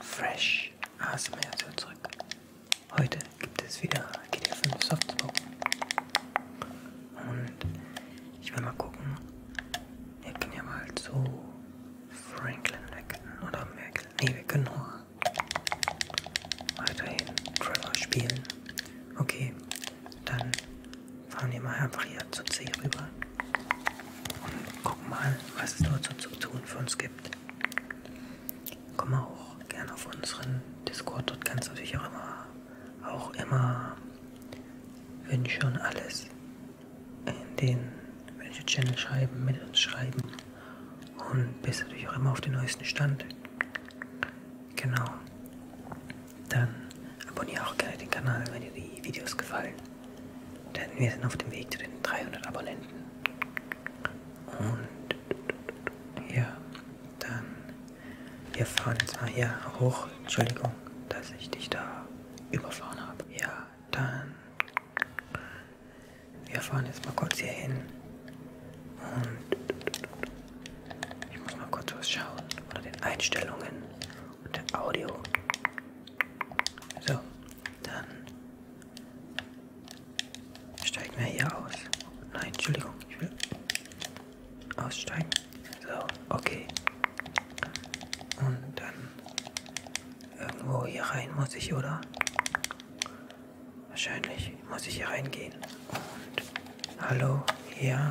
Fresh ASMR ist zurück. Heute gibt es wieder GTA 5 Softspot. Und ich will mal gucken. Wir können ja mal zu Franklin wechseln oder Merkel. Ne, wir können nur weiterhin Trevor spielen. Okay, dann fahren wir mal einfach hier zu C rüber und gucken mal, was es dort so zu tun für uns gibt. Komm auch gerne auf unseren Discord. Dort kannst du natürlich auch immer, auch immer Wünsche und alles in den Wünsche-Channel schreiben, mit uns schreiben. Und bist natürlich auch immer auf den neuesten Stand. Genau. Dann abonniere auch gerne den Kanal, wenn dir die Videos gefallen. Denn wir sind auf dem Weg zu den 300 Abonnenten. Und ja, dann, wir fahren jetzt mal hier hoch. Entschuldigung, dass ich dich da überfahren habe. Ja, dann, wir fahren jetzt mal kurz hier hin. Und ich muss mal kurz was schauen. Oder den Einstellungen und der Audio. So, dann Steigen wir hier aus. Nein, Entschuldigung, ich will aussteigen. So, okay. Und dann irgendwo hier rein muss ich, oder? Wahrscheinlich muss ich hier reingehen. Und hallo, ja.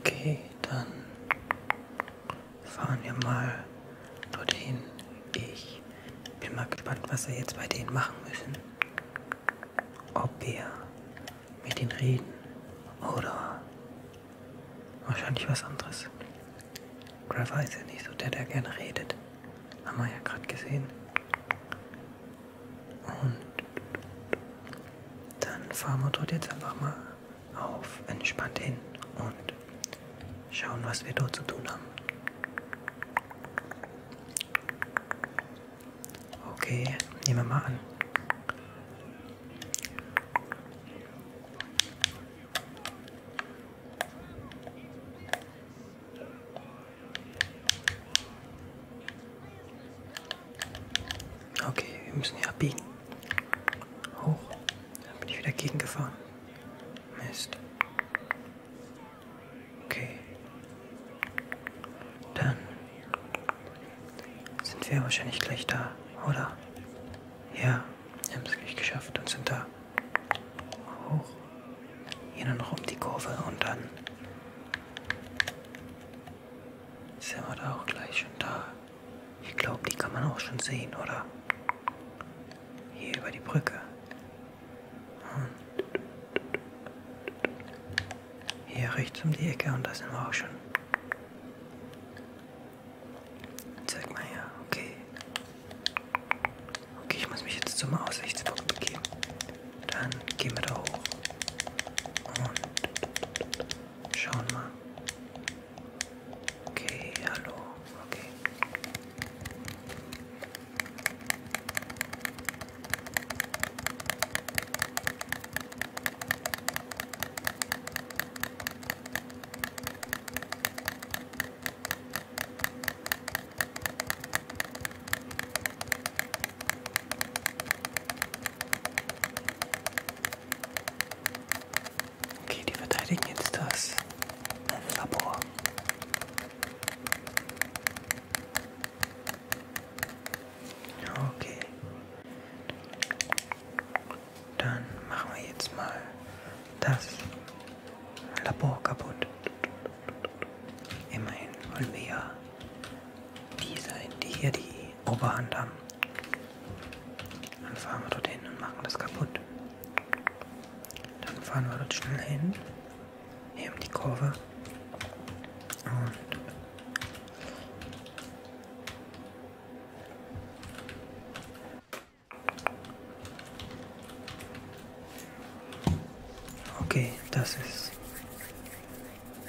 Okay, dann fahren wir mal dorthin. Ich bin mal gespannt, was wir jetzt bei denen machen müssen. Ob wir mit denen reden oder wahrscheinlich was anderes. Trevor ist ja nicht so der, der gerne redet. Haben wir ja gerade gesehen. Und dann fahren wir dort jetzt einfach mal auf entspannt hin und schauen, was wir dort zu tun haben. Okay, nehmen wir mal an. Okay, wir müssen hier abbiegen. Hoch. Da bin ich wieder gegengefahren. Mist. Okay. Dann sind wir wahrscheinlich gleich da, oder? Ja, wir haben es gleich geschafft und sind da weiter hoch, hier dann rum die Kurve und dann sind wir da auch gleich schon da. Ich glaube, die kann man auch schon sehen, oder? Hier über die Brücke. Und hier rechts um die Ecke und da sind wir auch schon. Zeig mal her, okay. Okay, ich muss mich jetzt zum Aussichtspunkt begeben. Dann gehen wir da hoch. Und schauen mal. Okay, hallo. Okay. Okay, die verteidigen jetzt das Labor. Okay dann machen wir jetzt mal das Labor kaputt. Immerhin wollen wir ja die sein, die hier die Oberhand haben. Dann fahren wir dorthin und machen das kaputt. Dann fahren wir dort schnell hin, hier um die Kurve und Okay, das ist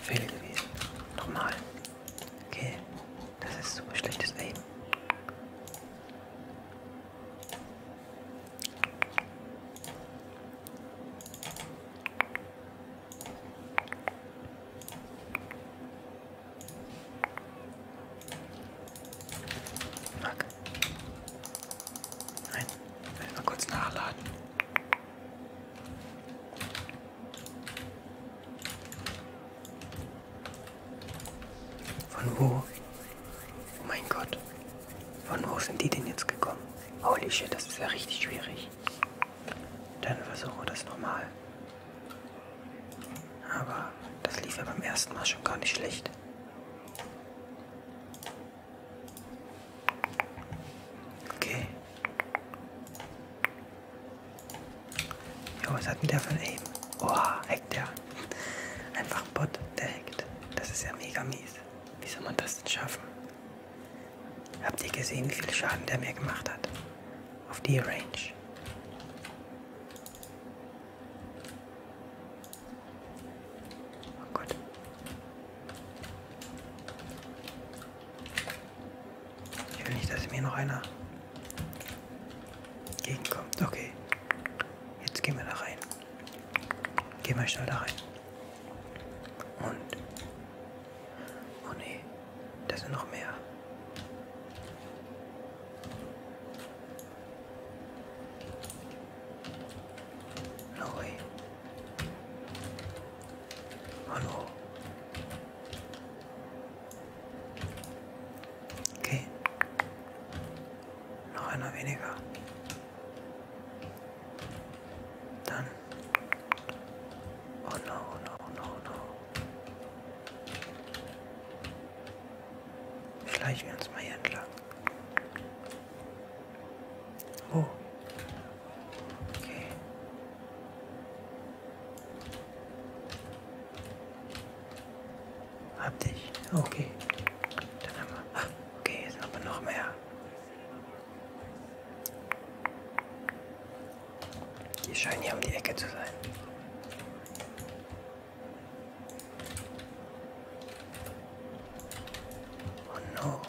fehl gewesen. Nochmal. Okay, das ist super schlechtes Aim. Fuck. Nein, ich will mal kurz nachladen. Von wo? Oh mein Gott. Von wo sind die denn jetzt gekommen? Holy shit, das ist ja richtig schwierig. Dann versuchen wir das nochmal. Aber das lief ja beim ersten Mal schon gar nicht schlecht. Okay. Jo, was hat denn der von eben? Oha, hackt der. Einfach ein Bot, der hackt. Das ist ja mega mies. Wie soll man das denn schaffen? Habt ihr gesehen, wie viel Schaden der mir gemacht hat? Auf die Range. Oh Gott. Ich will nicht, dass mir noch einer gegenkommt. Okay. Jetzt gehen wir da rein. Gehen wir schnell da rein. Und. Oh nee, da sind noch mehr. Neu. Hallo. Okay. Noch einer weniger. Dann. Oh no, oh no, oh no, oh no. Schleichen wir uns mal hier entlang. Oh. Okay. Hab dich. Okay. Dann haben wir. Ah, okay, jetzt haben wir noch mehr. Die scheinen hier um die Ecke zu sein. Oh no.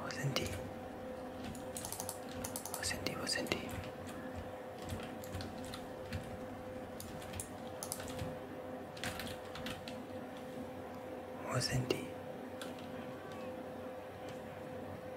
Wo sind die? Wo sind die? Wo sind die? Wo sind die?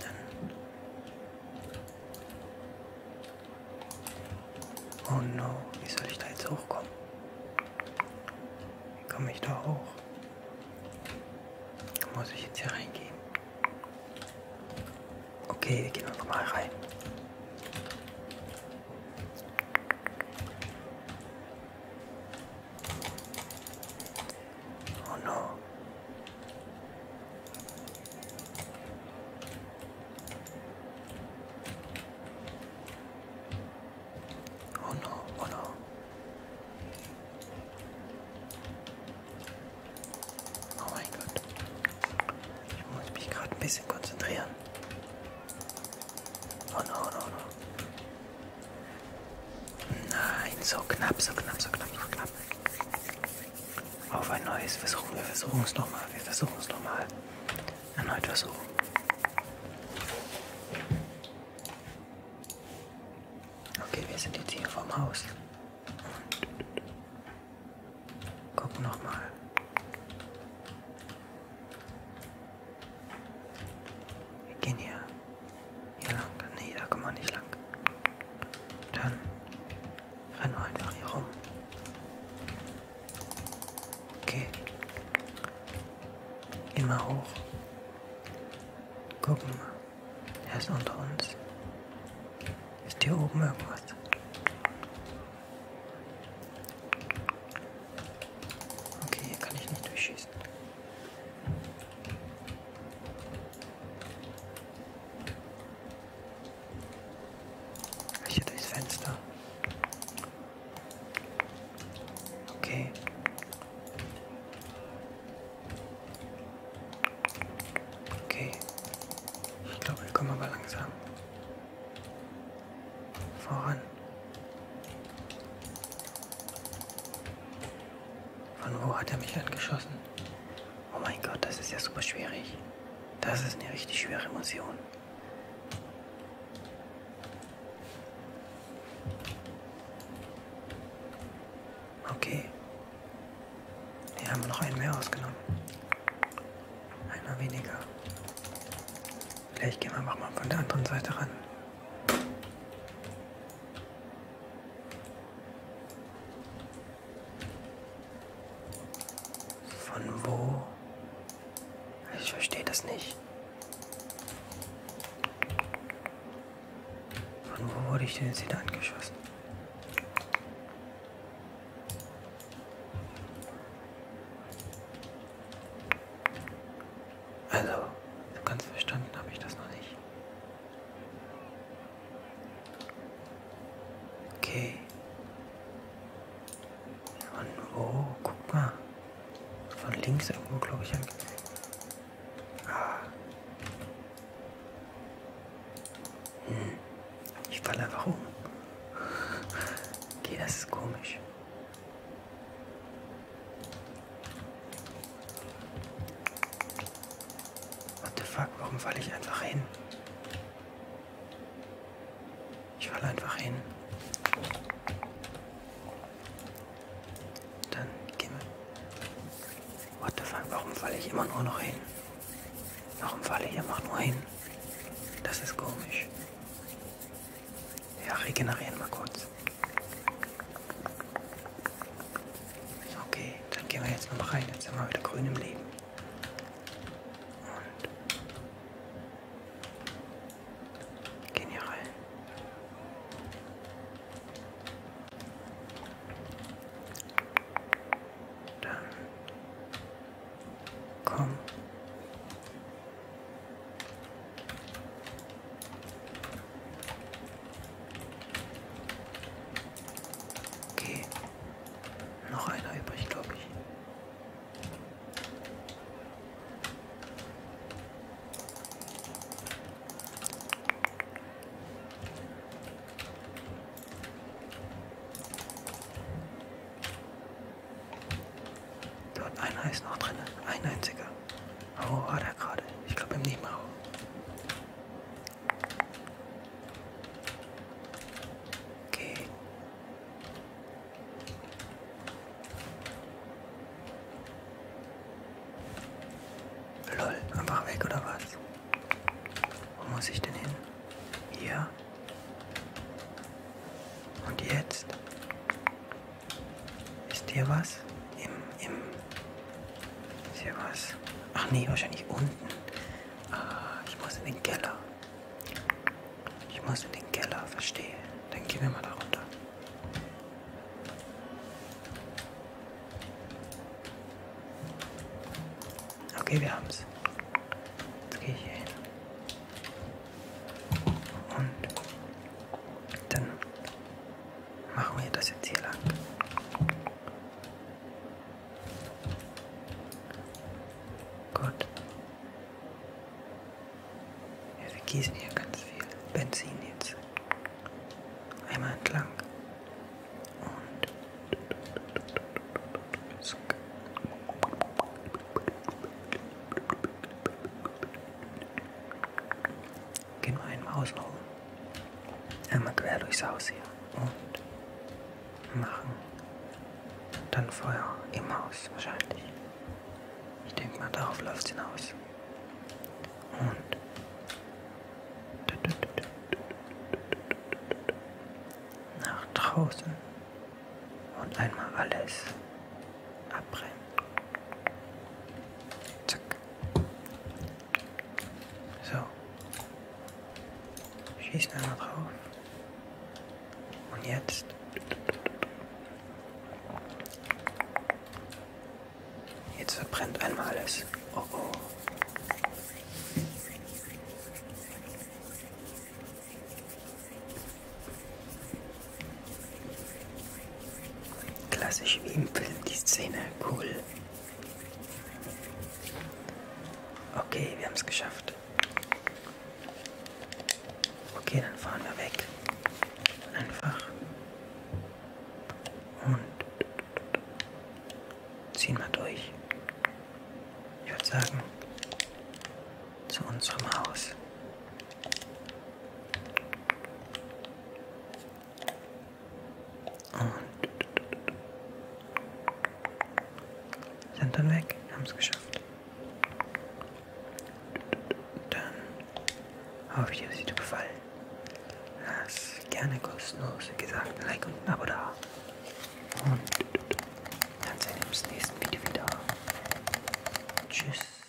Dann. Oh no, wie soll ich da jetzt hochkommen? Wie komme ich da hoch? Muss ich jetzt hier reingehen? Okay, wir gehen einfach mal rein. Oh no. Oh no, oh no. Oh mein Gott. Ich muss mich gerade ein bisschen konzentrieren. Oh no, oh no, oh no. Nein, so knapp, so knapp, so knapp, so knapp. Auf ein neues Versuchen. Wir versuchen es nochmal. Wir versuchen es nochmal. Erneut versuchen. Okay, wir sind jetzt hier vorm Haus. Und gucken nochmal. Wir gehen hier hier lang? Nee, da kann man nicht lang. Dann rennen wir einfach hier rum. Okay. Gehen wir hoch. Gucken wir. Er ist unter uns. Ist hier oben irgendwas? Okay, hier kann ich nicht durchschießen. Hier durchs Fenster. Okay. Okay. Ich glaube, wir kommen aber langsam voran. Von wo hat er mich angeschossen? Oh mein Gott, das ist ja super schwierig. Das ist eine richtig schwere Mission. Okay. Wir haben noch einen mehr ausgenommen. Einer weniger. Vielleicht gehen wir einfach mal von der anderen Seite ran. Von wo? Ich verstehe das nicht. Von wo wurde ich denn jetzt wieder angeschossen? Also, ganz verstanden habe ich das noch nicht. Okay. Von oh, wo? Guck mal. Von links irgendwo, glaube ich. Ah. Hm. Ich falle einfach um. Okay, das ist komisch. What the fuck, warum falle ich einfach hin? Ich falle einfach hin. Dann gehen wir. What the fuck, warum falle ich immer nur noch hin? Warum falle ich einfach nur hin? Das ist komisch. Ja, regenerieren mal kurz. Okay, dann gehen wir jetzt nochmal rein. Jetzt sind wir wieder grün im Leben. Und gehen hier rein. Dann komm. Okay. Noch einer übrig, glaube ich. Dort einer ist noch drin, ein einziger. Aua war da gerade. Ich glaube im Nebenraum. Okay. Lol, einfach weg oder was? Wo muss ich denn hin? Hier. Und jetzt? Ist hier was? Im, im. Ist hier was? Ach nee, wahrscheinlich unten. Ah, ich muss in den Keller. Ich muss in den Keller, verstehe. Dann gehen wir mal da runter. Okay, wir haben's. Jetzt gehe ich hier hin. Und dann Machen wir das jetzt hier lang. Gut. Wir vergießen hier ganz viel Benzin jetzt. Einmal entlang. Und. Gehen wir einmal außen rum. Einmal quer durchs Haus hier. Und machen dann Feuer im Haus wahrscheinlich. Ich denke mal, darauf läuft es hinaus. Und nach draußen und einmal alles abbrennen. Zack. So. Schießen einmal drauf. Und jetzt. Jetzt verbrennt einmal alles. Oh oh. Klassisch wie im Film die Szene, cool. Okay, wir haben es geschafft. Okay, dann fahren wir weg. Einfach. Und ziehen wir durch. Ich würde sagen, zu unserem Haus. Und sind dann weg, haben es geschafft. Dann hoffe ich, dass sie dir gefallen. Lass gerne kostenlos, wie gesagt, ein Like und ein Abo da. Und dann sehen wir uns im nächsten Video wieder. Tschüss.